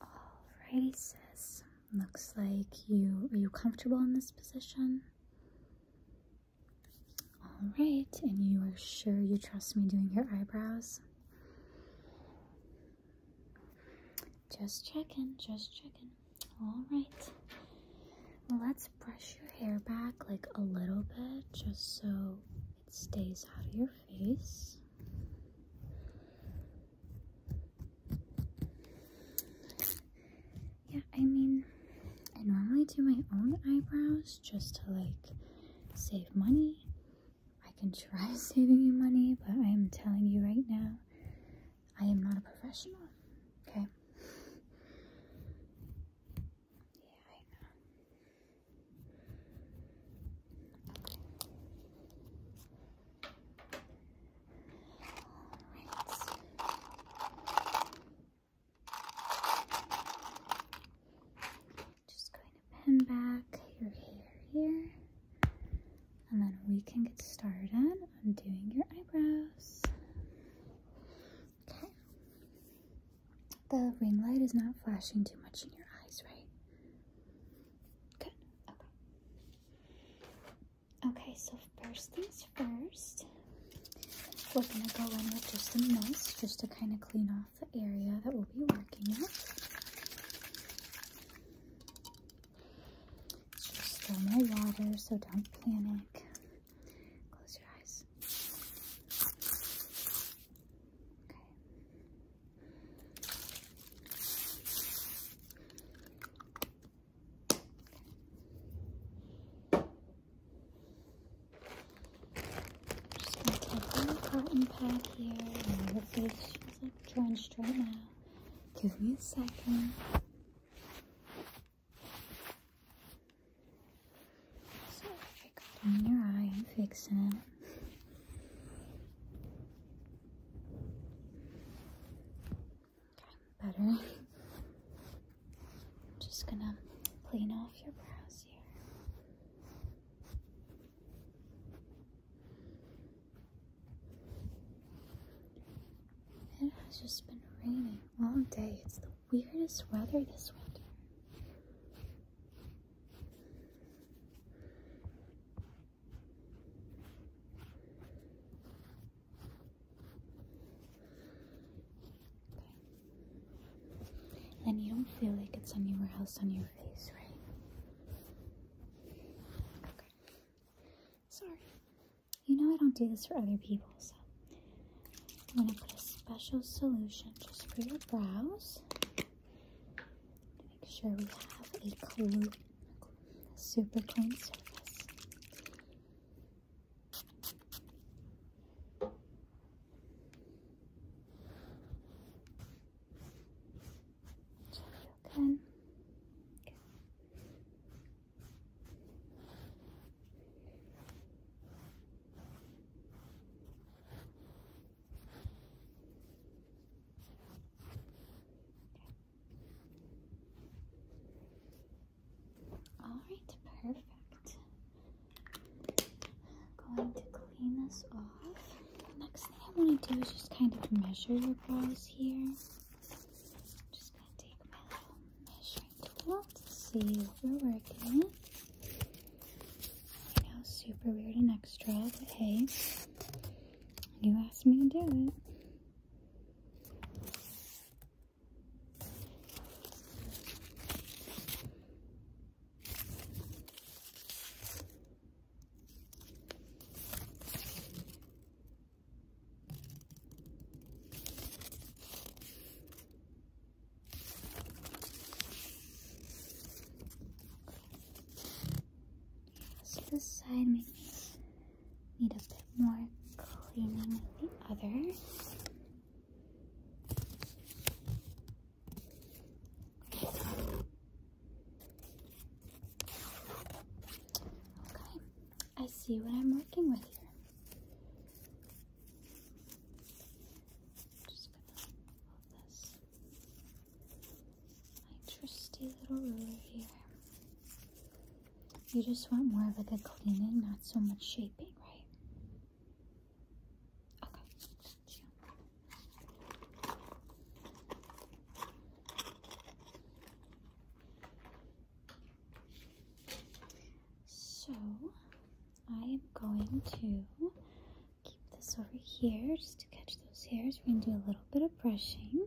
Alrighty, sis. Looks like you are you comfortable in this position? Alright, and you are sure you trust me doing your eyebrows? Just checking, just checking. Alright. Let's brush your hair back like a little bit just so it stays out of your face. Yeah, I mean, I normally do my own eyebrows just to like save money. I can try saving you money, but I am telling you right now, I am not a professional. Okay. Yeah, I know. Okay. Just going to pin back your hair here. And then we can get started on doing your eyebrows. Okay. The ring light is not flashing too much in your eyes, right? Good. Okay. Okay, so first things first, we're going to go in with just a mist just to kind of clean off the area that we'll be working with. Just throw my water, so don't panic. Close your eyes. Okay. Just gonna take my cotton pad here and your face is like drenched right now. Give me a second. So I your eye, fixing it. Okay, better. I'm just gonna clean off your brows here. It has just been raining all day. It's the weirdest weather this winter. And you don't feel like it's anywhere else on your face, right? Okay. Sorry. You know I don't do this for other people, so I'm gonna put a special solution just for your brows make sure we have a clean, super clean surface. Good. Okay. All right, perfect. going to clean this off. Next thing I want to do is just kind of measure your brows here. just going to take my little measuring tool to see what we're working with. super weird and extra, but hey, you asked me to do it. So this side may need a bit more cleaning than the other. Okay, I see what I'm working with here. Just gonna hold this. My trusty little ruler here. You just want more of like a cleaning, not so much shaping, right? Okay, So I am going to keep this over here just to catch those hairs. We're gonna do a little bit of brushing.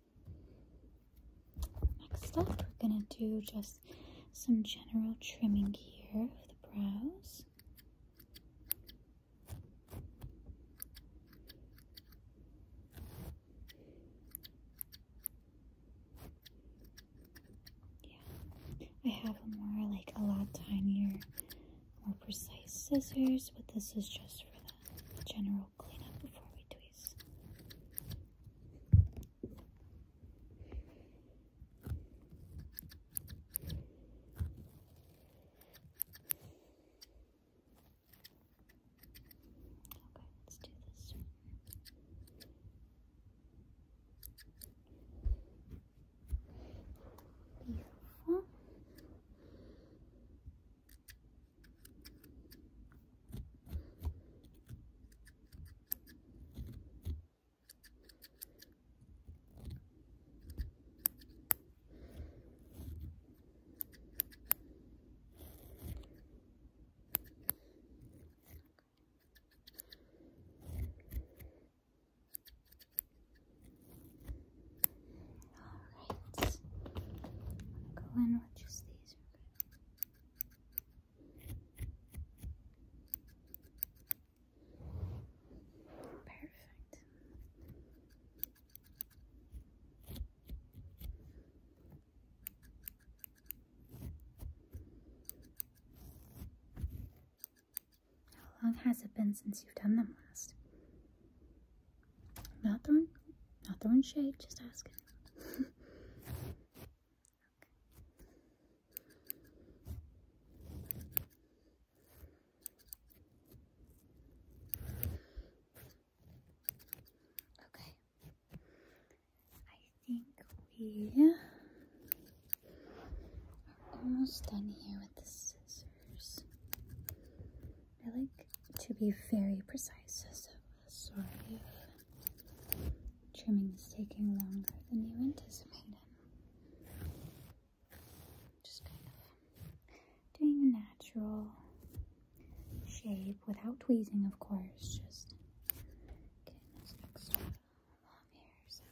Next up, we're going to do just some general trimming here of the brows. Yeah, I have more like a lot tinier, more precise scissors, but this is just for the general cleanup before we tweeze let's do this Beautiful. All right. I'm gonna go in with just these. Perfect. How long has it been since you've done them last? Not throwing, not throwing shade, just asking. Okay. I think we are almost done here with the scissors. I like to be very precise, so sorry Trimming is taking longer than you anticipated. Just kind of doing a natural shape without tweezing, of course. Just getting those extra long hairs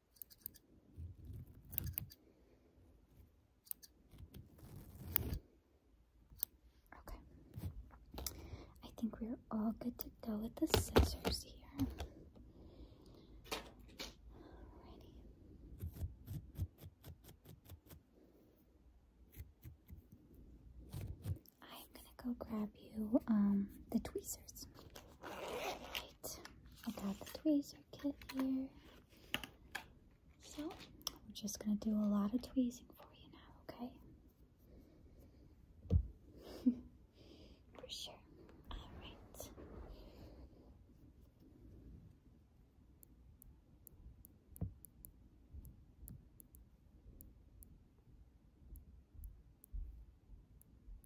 Okay. I think we're all good to go with the scissors here. I'm gonna go grab you um the tweezers right, I got the tweezer kit here. So we're just gonna do a lot of tweezing for you now, okay? for sure. All right.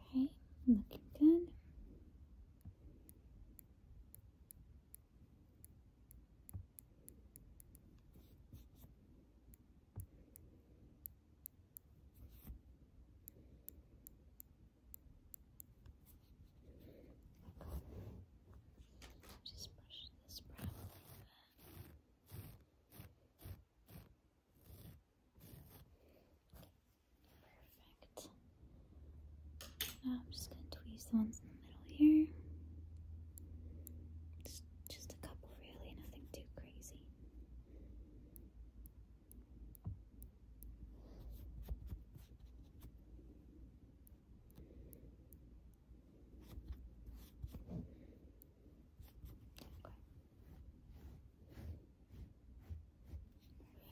Okay, looking good. Just brushing this brown Perfect. I'm just going to tweeze the ones in the middle here. Just, just a couple, really, nothing too crazy.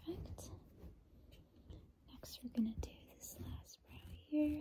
Perfect. Next, we're going to do this last brow here.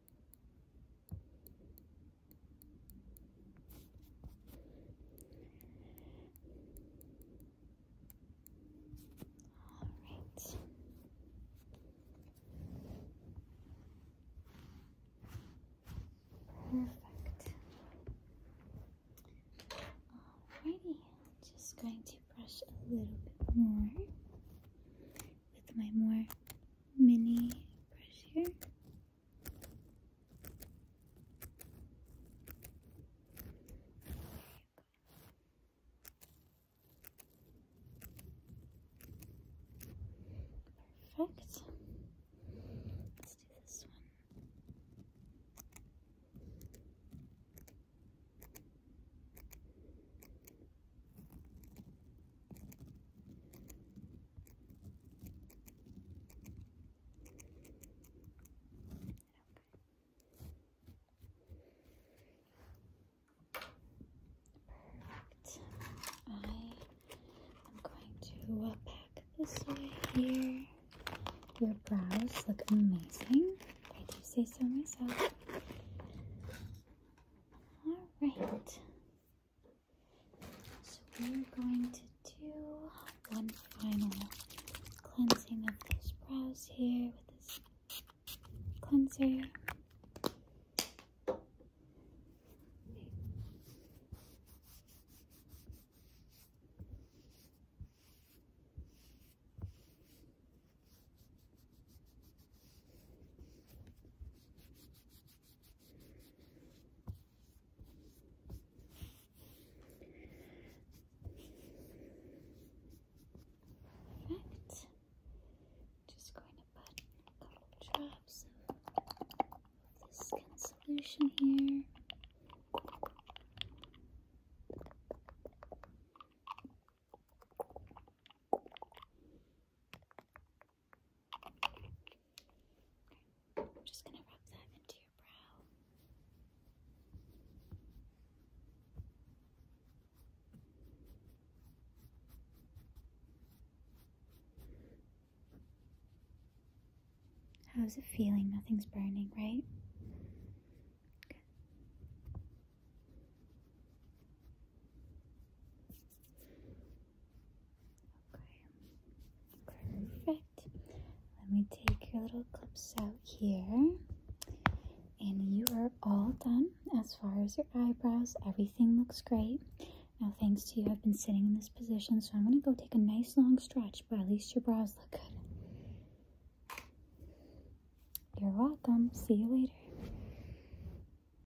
All right. Perfect. Alrighty, just going to brush a little bit more with my more mini brush here. Perfect. Let's do this one. Perfect. I am going to uh, pack this way here. Your brows look amazing. I do say so myself. All right. So we're going to do one final cleansing of those brows here with this cleanser. Perfect. Just going to put a couple drops of this skin solution here. I'm just going to rub that into your brow. How's it feeling? Nothing's burning, right? Okay, perfect. Let me take your little clips out here. And you are all done as far as your eyebrows. Everything looks great. Now, thanks to you, I've been sitting in this position, so I'm going to go take a nice long stretch, but at least your brows look good. You're welcome. See you later.